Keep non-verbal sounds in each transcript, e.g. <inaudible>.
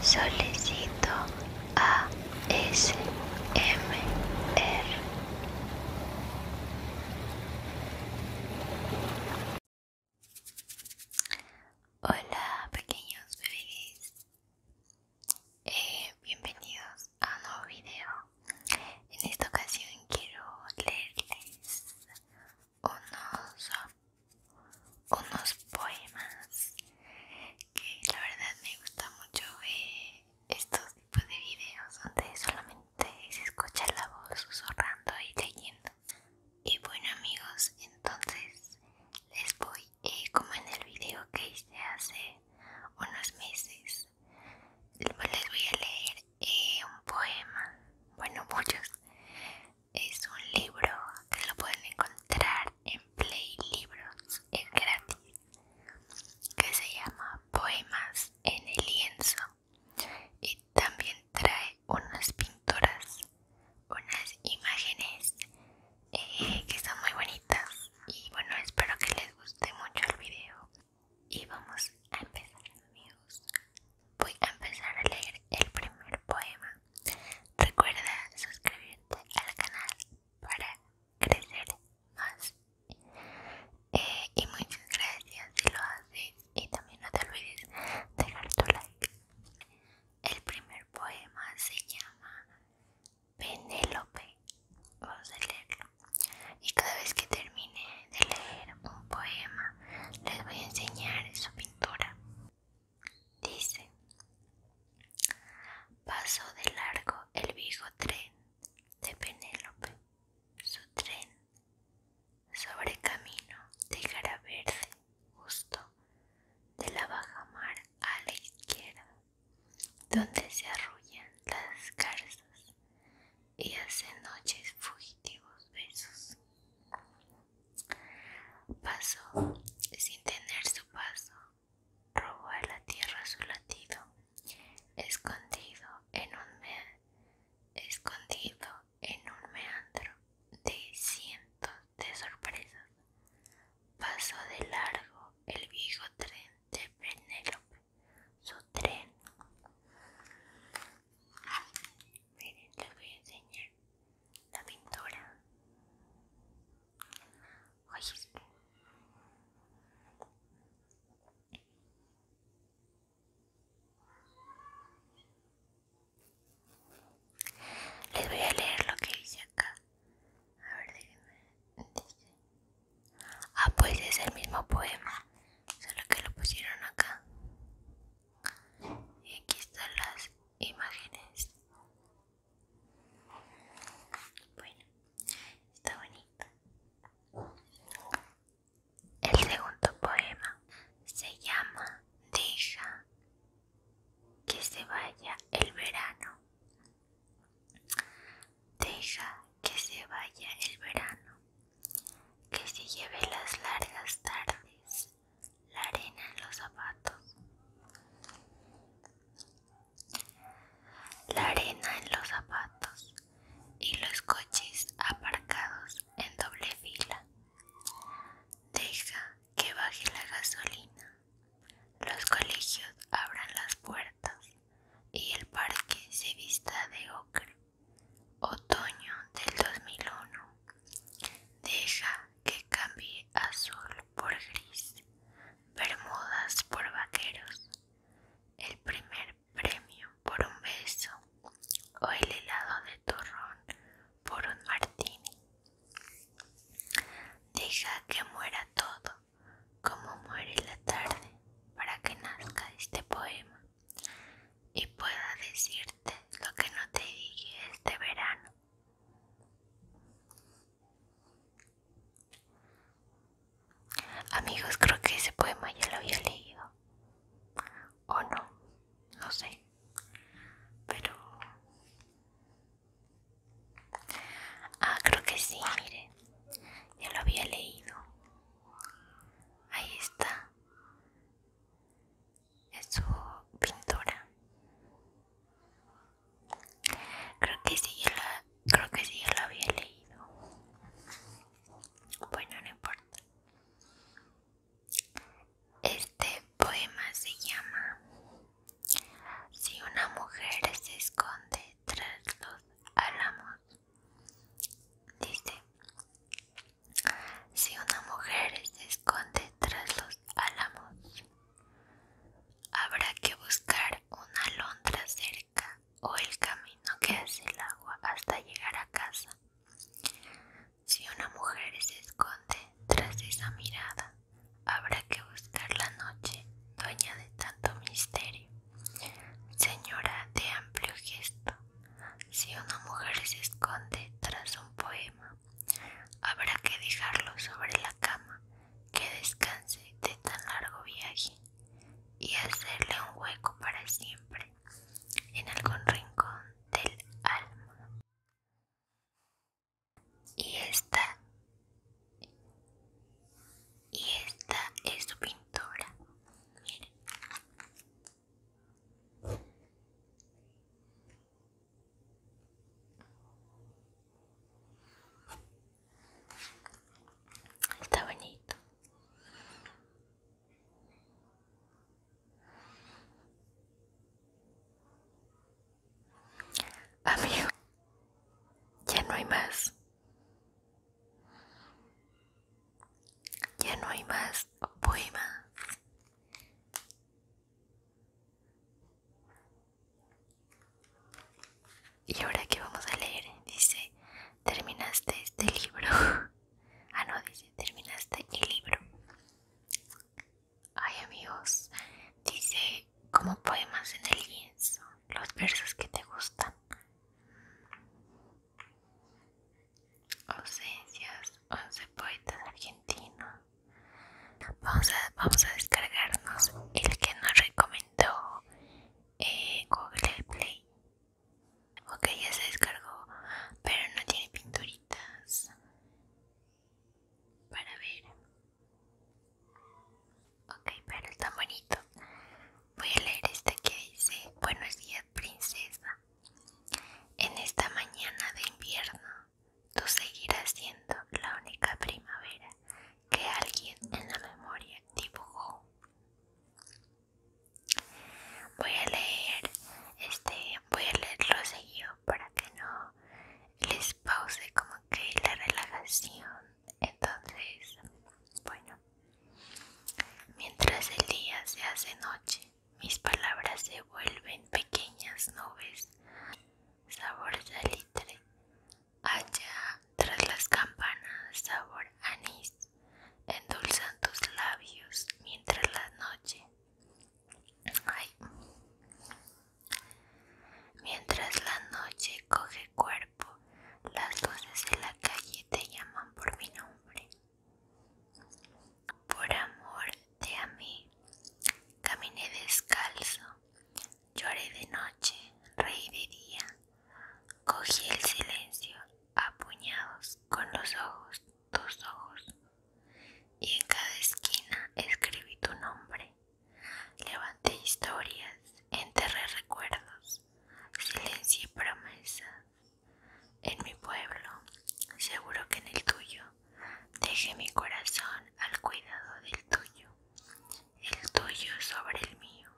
Solicito a ASMR. Hola pequeños bebés, eh, bienvenidos a un nuevo video. En esta ocasión quiero leerles unos unos poemas que la verdad me gusta mucho estos tipos de videos donde solamente se escucha la voz susurrando y leyendo y bueno amigos entonces les voy eh, como en el video que hice hace unos meses les voy a leer eh, un poema bueno muchos es un libro que lo pueden encontrar en Play Libros, es gratis, que se llama Poemas en el lienzo y también trae unas pinturas, unas imágenes eh, que son muy bonitas y bueno espero que les guste mucho el video y vamos a empezar amigos voy a empezar a leer el primer poema Recuerda suscribirte al canal para crecer más. Eh, y muchas gracias si lo haces y también no te olvides dejar tu like. El primer poema se llama Penélope. Vamos a leerlo. Y cada vez que termine de leer un poema les voy a enseñar su pintura. Dice, pasó de largo el viejo tren de Penélope, su tren, sobre camino de cara Verde, justo de la baja mar a la izquierda, donde se arrullan las garzas y hacen noches fugitivos besos. Pasó sin tener su paso, robó a la tierra su latido, escondido en un, escondido en un meandro de cientos de sorpresas. Pasó de largo el viejo tren de Penélope, su tren. Miren, les voy a enseñar la pintura. les voy a leer lo que dice acá. A ver, Ah, pues es el mismo poema, solo que lo pusieron acá. Y aquí están las imágenes bueno, está bonito. El segundo poema se llama Deja que se vaya el verano. Deja que se vaya el verano, que se lleve las largas tardes la arena en los zapatos. La arena en los zapatos y los coches aparcados en doble fila. Deja que baje la gasolina. Los colegios abran las puertas y el parque se vista de ocre. Otoño del 2001. Deja que cambie azul por gris, bermudas por vaqueros, el primer premio por un beso o el helado de turrón por un martini. Deja que muera todo como muere la tarde para que nazca este poema y pueda decirte lo que no te dije este verano Amigos, creo que ese poema ya lo había leído. O no, no sé. Pero... Ah, creo que sí, miren. Ya lo había leído. Ahí está su pintura. Creo que sí, la, creo que la había leído. Bueno, no importa. Este poema se llama Si una mujer se esconde tras los álamos. Dice, si una mujer se esconde tras los álamos, Habrá que buscar una alondra cerca o el camino que hace el agua hasta llegar a casa. Si una mujer se esconde tras esa mirada, habrá que buscar la noche, dueña de tanto misterio. Señora de amplio gesto, si una mujer se esconde tras un poema, Habrá que dejarlo sobre la cama, que descanse de tan largo viaje, y hacerle un hueco para siempre en algún rincón del alma. Y esta, y esta es su pintora. Está bonito. Amigo, ya no hay más. Ya no hay más más y ahora que vamos a leer, dice, terminaste este libro. <laughs> ah, no, dice, terminaste el libro. Ay amigos, dice, como poemas en el lienzo, los versos que te gustan. Ausencias, once poetas argentinos. Vamos a, descargarnos el que nos recomendó eh, Google Play. Ok, ya se descargó, pero no tiene pinturitas para ver. Ok, pero está bonito. Voy a leer este que dice: Buenos días, princesa. En esta mañana de invierno tú seguirás siendo la única primavera que alguien en la memoria dibujó. Voy a leer, este, voy a leerlo seguido para que no les pause como que la relajación. Entonces, bueno, mientras el día se hace noche, mis palabras se vuelven pequeñas nubes sabor salitre, allá tras las campanas, sabor anís, endulzan tus labios mientras la noche, mientras la noche coge cuerpo, las luces de la calle te llaman por mi nombre. Por amor te a mí. Caminé descalzo, lloré de noche, reí de día. Cogí el silencio a puñados con los ojos, tus ojos. Y en cada esquina escribí tu nombre. Levanté historias, enterré recuerdos, y promesas. En mi pueblo, seguro que en el tuyo, dejé mi corazón al cuidado del tuyo, el tuyo sobre el mío,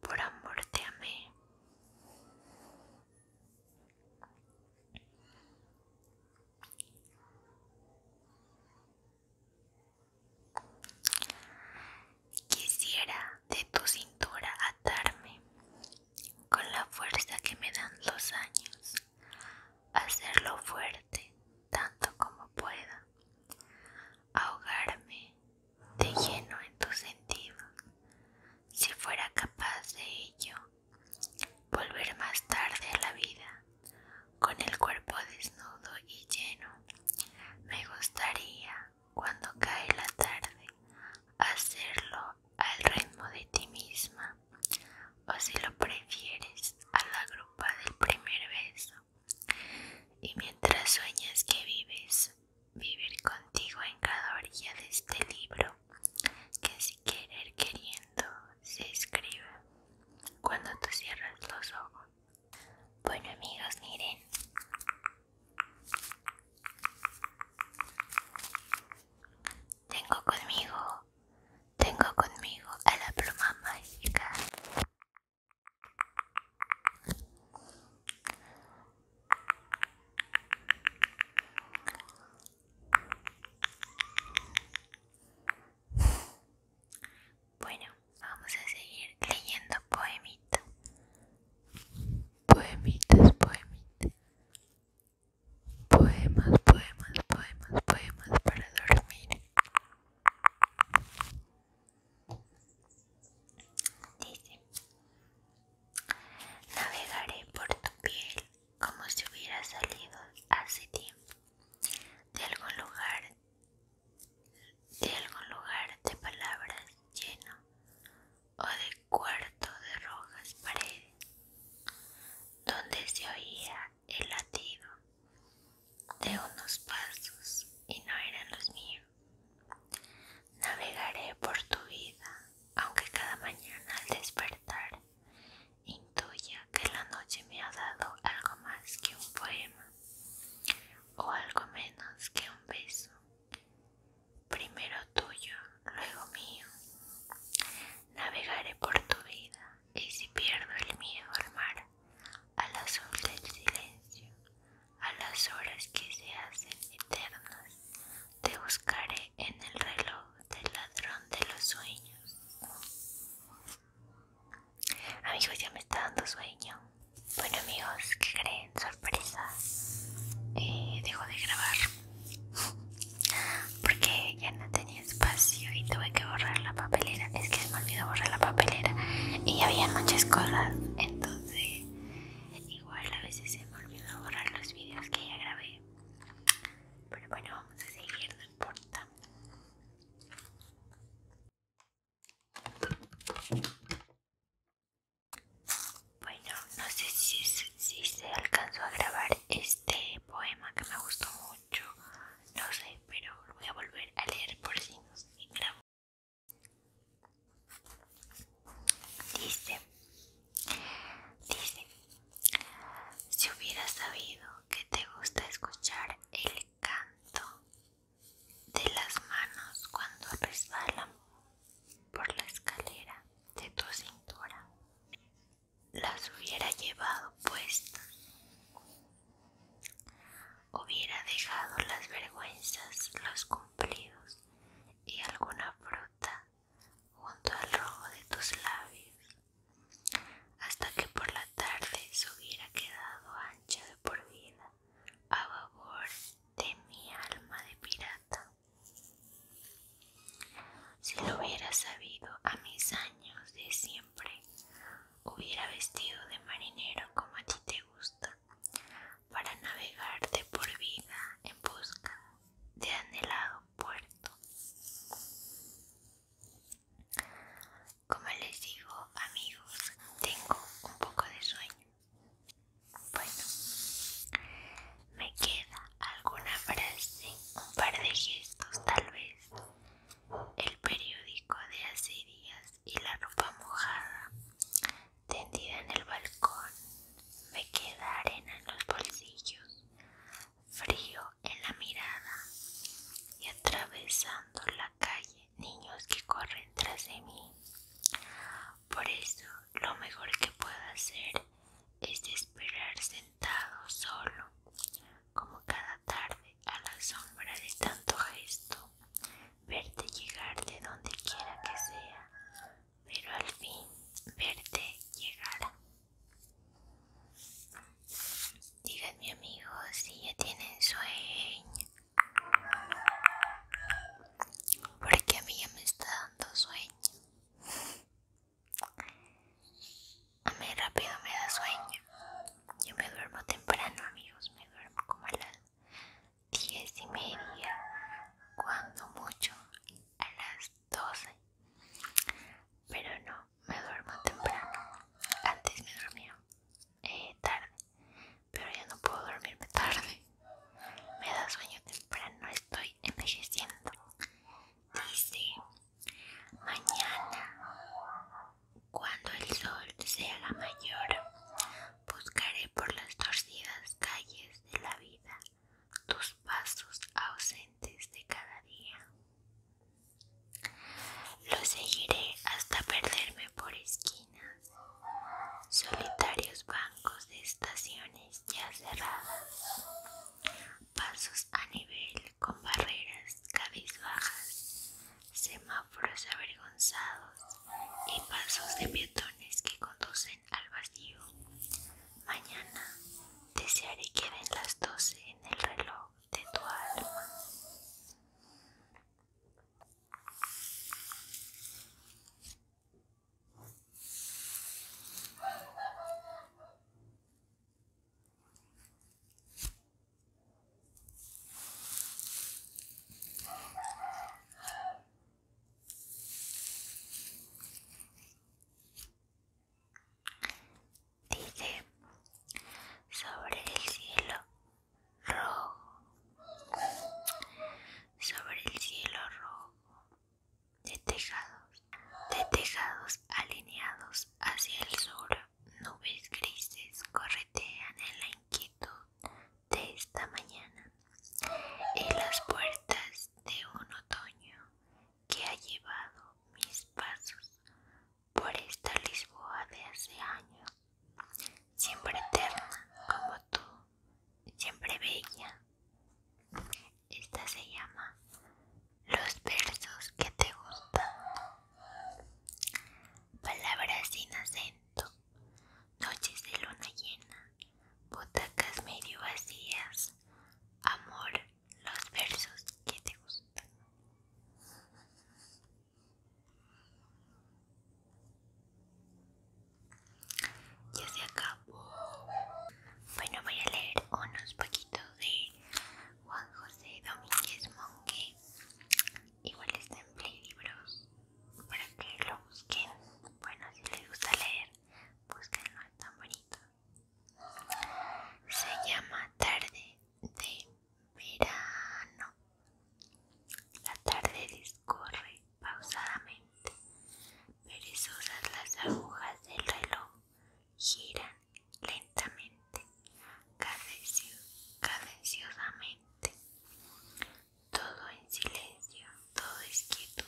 por amor te amé. Quisiera de tu cintura atarme con la fuerza que me dan los años, hacerlo fuerte tanto como pueda, ahogarme de lleno en tu sentido, si fuera capaz de ello, volver más tarde a la vida, con el cuerpo desnudo y lleno, me gustaría, cuando cae la tarde, hacerlo al ritmo de ti misma o si lo prefieres a la grupa del primer beso y mientras sueñas que vives vivir contigo en cada orilla de este libro que si querer queriendo se escribe cuando tú cierras los ojos bueno amigos miren tengo conmigo tengo conmigo a la pluma mágica. Bueno, vamos a seguir leyendo poemitas. Poemitas, poemitas. Poemas, poemas, poemas, poemas para dormir. Dice, navegaré por tu piel como si hubiera salido hace tiempo de algún lugar, de algún lugar de palabras lleno o de cuarto de rojas paredes, donde se oía el latido de unos pasos y no eran los míos. Navegaré por tu vida, aunque cada mañana al despertar intuya que la noche me ha dado algo más que un poema o algo menos que un beso. Primero tuyo, luego mío. Navegaré por tu vida, y si pierdo el miedo al mar, a azul del silencio, a las horas que se hacen eternas, te buscaré en el reloj del ladrón de los sueños. Amigos, ya me está dando sueño. Bueno, amigos, que creen? Sorpresa. Eh, dejo de grabar <laughs> porque ya no tenía espacio y tuve que borrar la papelera. Es que me olvidó borrar la papelera y había muchas cosas. Entonces, igual a veces se me olvidó borrar los vídeos que ya grabé. Pero bueno, vamos a seguir, no importa. Bueno, no sé si, si se alcanzó a grabar este poema que me gustó mucho yo no sé, pero voy a volver a leer por si nos grabo. Dice, dice, si hubiera sabido que te gusta escuchar el canto de las manos cuando resbalan por la escalera de tu cintura, las hubiera llevado puestas, hubiera dejado las vergüenzas, los cumplidos y alguna fruta junto al rojo de tus labios, hasta que por la tarde se hubiera quedado ancha de por vida a favor de mi alma de pirata. Si lo hubiera sabido a mis años de siempre siempre hubiera vestido de marinero como a ti te gusta, para navegarte por vida en busca de anhelado puerto. Como les digo, amigos, tengo un poco de sueño. Bueno, me queda alguna frase, un par de gestos tal vez el periódico de hace días y la ropa mojada tendida en el balcón. Me queda arena en los bolsillos, frío en la mirada y atravesando la calle niños que corren tras de mí. Por eso lo mejor que puedo hacer es esperar sentado solo como cada tarde a la sombra de tanto gesto, verte llegar de donde quiera que sea, pero al fin verte llegar. Díganme amigos si ya tienen sueño, porque a mí ya me está dando sueño. A mí rápido me da sueño. Yo me duermo temprano, amigos. Me duermo como a las diez y media, cuando mucho, a las 12 Pero no, me duermo temprano. Antes me dormía eh, tarde, pero ya no puedo dormirme tarde. Me da sueño temprano, estoy envejeciendo. Dice Mañana, cuando el sol sea la mayor, buscaré por las torcidas calles de la vida tus pasos ausentes de cada día. Lo seguiré hasta perderme por esquinas, solitarios bancos de estaciones ya cerradas, pasos a nivel con barreras cabizbajas, semáforos avergonzados y pasos de peatones que conducen al vacío. Mañana desearé que den las 12 en el reloj de tu alma. Dice sobre el cielo rojo, sobre el cielo rojo de tejados, de tejados alineados hacia el sur nubes grises corretean en la inquietud de esta mañana en las puertas de un otoño que ha llevado mis pasos por esta Lisboa de hace años, siempre eterna como tú, siempre bella. Esta se llama Los versos que te gustan Palabras sin acento, noches de luna llena, Botacas medio vacías, amor, los versos que te gustan. Ya se acabó. Bueno, voy a leer unos poquitos de Juan José Domínguez Monque Igual está en Libros para que lo busquen. Bueno, si les gusta leer, búsquenlo, es tan bonito. Se llama Tarde de Verano. La tarde discorre pausadamente. Perezosas las agujas del reloj giran lentamente, cadenciosamente. Todo en silencio, todo es quietud,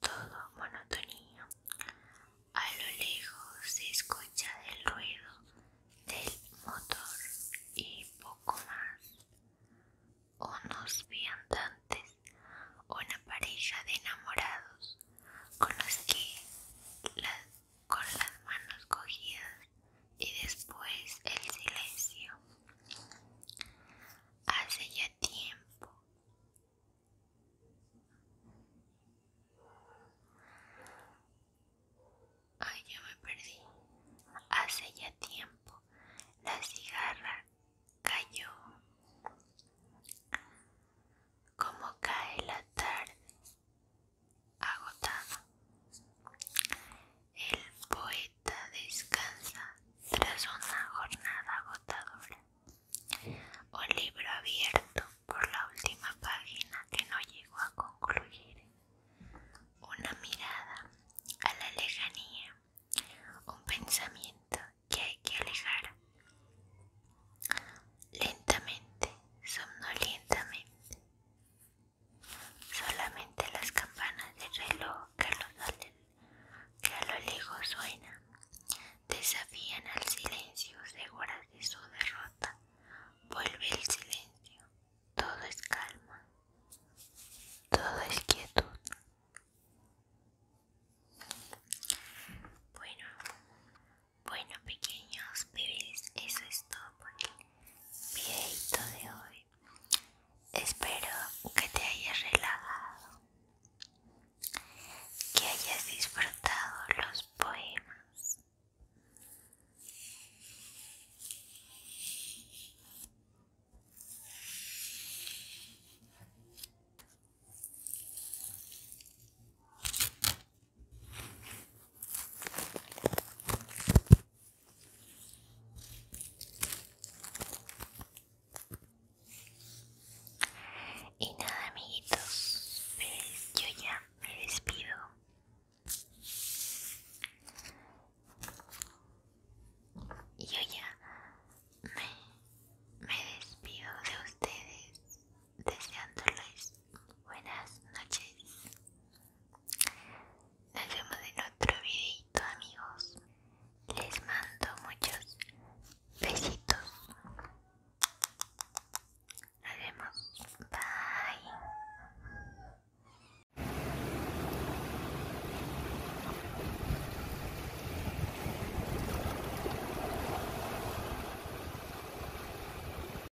todo monotonía. A lo lejos se escucha el ruido del motor y poco más. Unos viandantes, una pareja de enamorados con los que las con las manos cogidas y después el silencio. Hace ya tiempo. Ay, ya me perdí. Hace ya tiempo la cigarra cayó. Como cae la tarde Agotado El poeta descansa tras una jornada agotadora Un libro abierto por la última página que no llegó a concluir. Una mirada a la lejanía, un pensamiento que hay que alejar. Lentamente, somnolientamente, Solamente las campanas del reloj que a lo, lo lejos suena desafían al silencio, seguras de su derrota. Vuelve el silencio, todo es calma, todo es quietud. Bueno, bueno pequeños bebés, eso es todo por el videito de hoy. Espero que te hayas relajado, que hayas disfrutado los poemas. Y nada amiguitos, yo ya me despido. Yo ya me, me despido de ustedes deseándoles buenas noches. Nos vemos en otro videito, amigos. Les mando muchos besitos. Nos vemos. Bye.